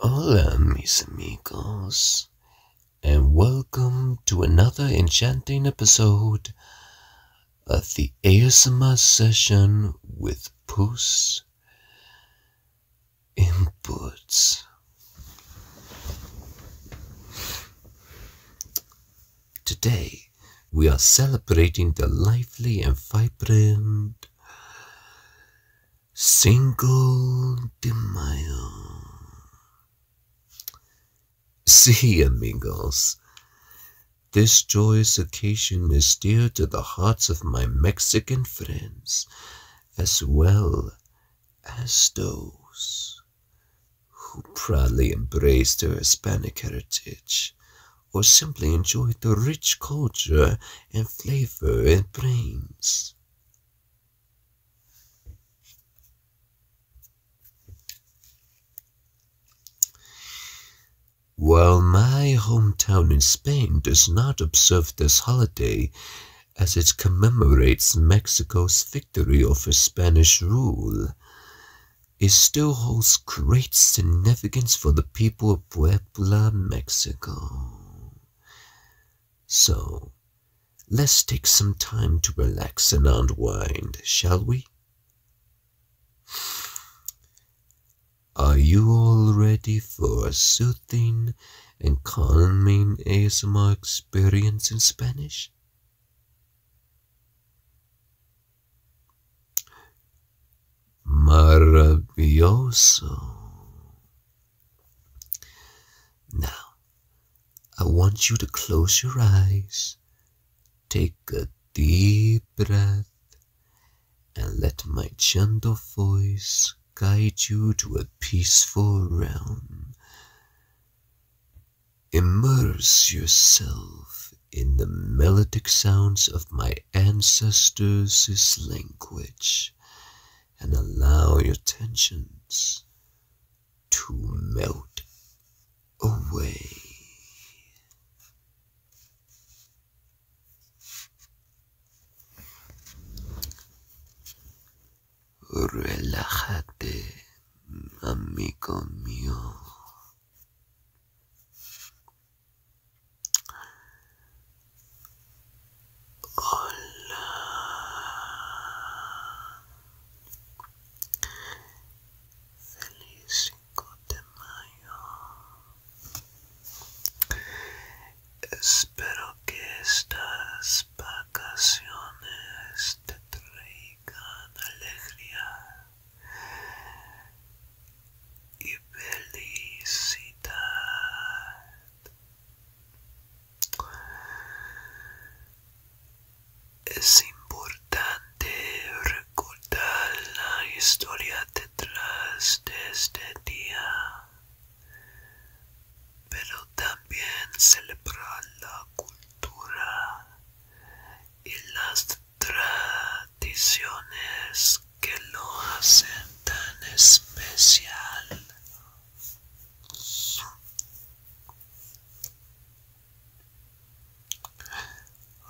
Hola, mis amigos, and welcome to another enchanting episode of the ASMR session with Puss Inputs Today, we are celebrating the lively and vibrant Cinco de Mayo. See, amigos, this joyous occasion is dear to the hearts of my Mexican friends, as well as those who proudly embrace their Hispanic heritage or simply enjoy the rich culture and flavor it brings. While my hometown in Spain does not observe this holiday, as it commemorates Mexico's victory over Spanish rule, it still holds great significance for the people of Puebla, Mexico. So, let's take some time to relax and unwind, shall we? Are you all ready for a soothing and calming ASMR experience in Spanish? Maravilloso. Now, I want you to close your eyes, take a deep breath, and let my gentle voice guide you to a peaceful realm. Immerse yourself in the melodic sounds of my ancestors' language and allow your tensions to melt away. Relájate, amigo mío. Hola. Feliz 5 de mayo. Espero que estas vacaciones te traigan alegría y felicidad. Es importante recordar la historia detrás de este día, pero también celebrar la cultura y las tradiciones que lo hacen tan especial.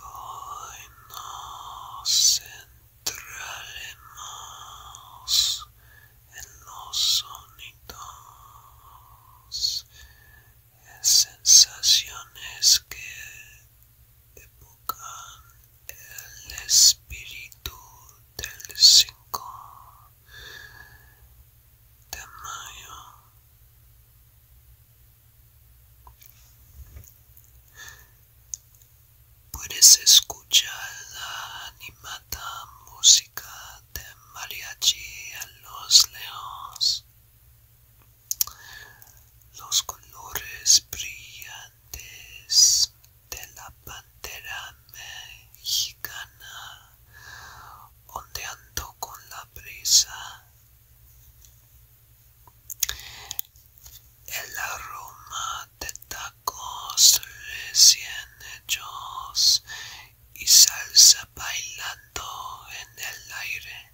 Hoy nos centraremos en los sonidos sensaciones que evocan el espíritu del 5 de mayo. Puedes escuchar la animada música de mariachi a los leones. Los colores brillantes de la pantera mexicana ondeando con la brisa. El aroma de tacos recién hechos y salsa bailando en el aire.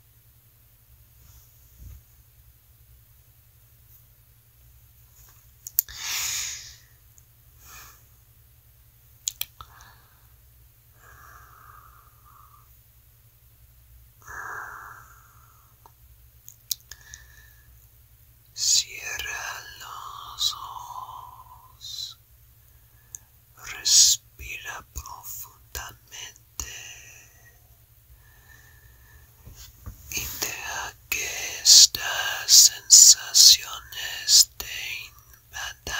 Cierra los ojos Respira profundamente y deja que estas sensaciones te invadan.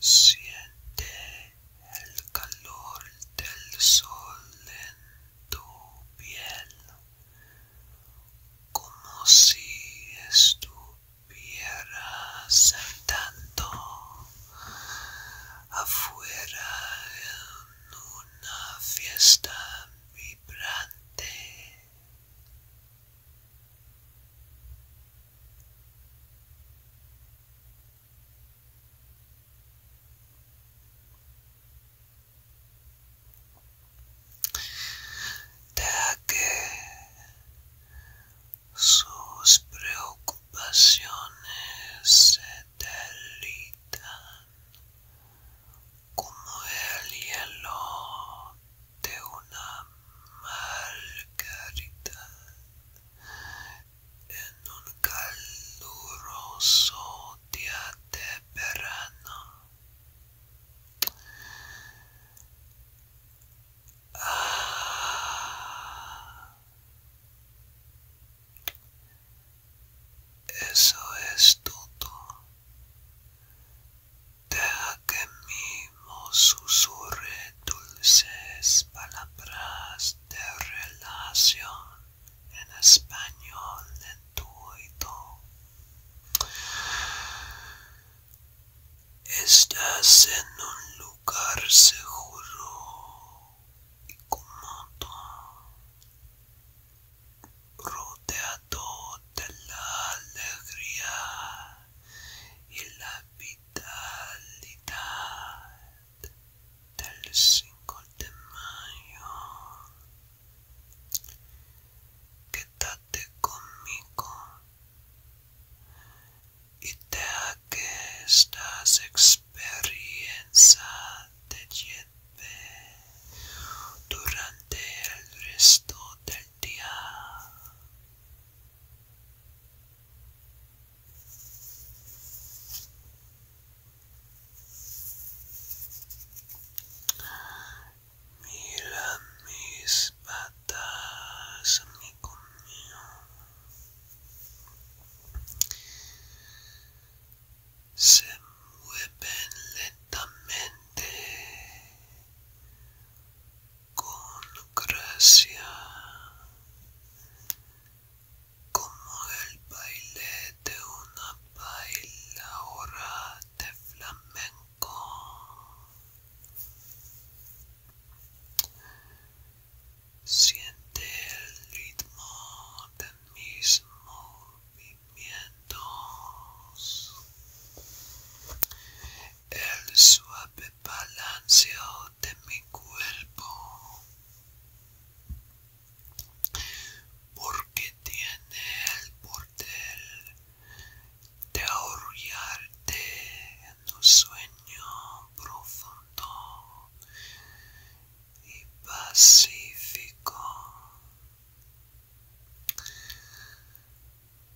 Siente el calor del sol en tu piel como si estuviera saltando afuera en una fiesta vibrante. ya que sus preocupaciones se derritan como el hielo de una margarita en un caluroso día de verano Eso es todo. Deja que mimo susurre dulces palabras de relación en español de tuito, Estás en un lugar seguro y cómodo, rodeado de la alegría y la vitalidad del 5 de mayo Quédate conmigo y te que esta experiencia te lleve durante el resto del día. Mira mis patas, amigo mío. Se mueven lentamente con gracia como el baile de una bailadora de flamenco. Siente el ritmo de mis movimientos, el suave balanceo de mi cuerpo porque tiene el poder de ahorrarte en un sueño profundo y pacífico.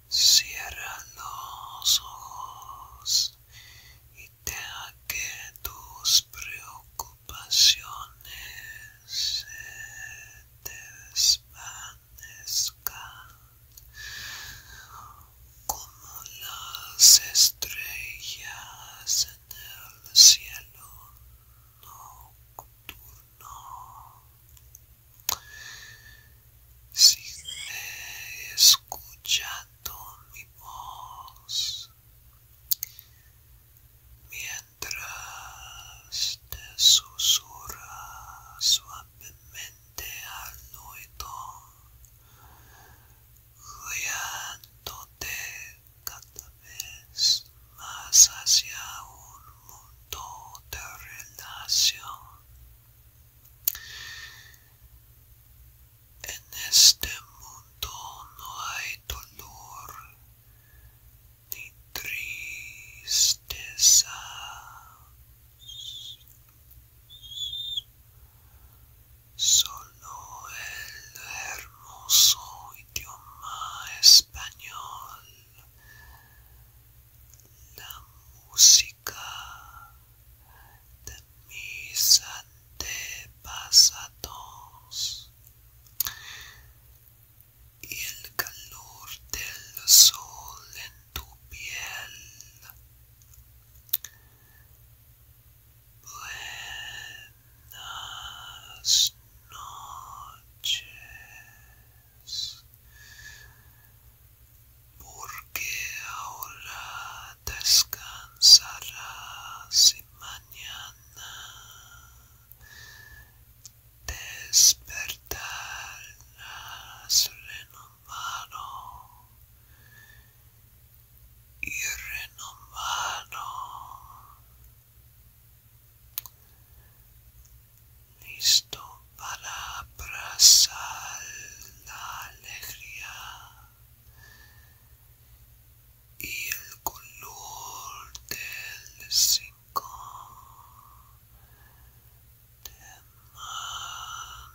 Cierra los ojos y te que tus preocupaciones pasiones se desvanezcan como las estrellas en el cielo nocturno. Sigue escuchando mi voz mientras te susurra suavemente al oído, guiándote cada vez más hacia un mundo de relación en este mundo no hay dolor ni tristeza. Solo el hermoso idioma español, la música mis antepasados y el calor del sol en tu piel buenas noches porque ahora descansarás y mañana despertarás renombrado, y renombrado, listo para abrazar la alegría y el color del cinco tamaño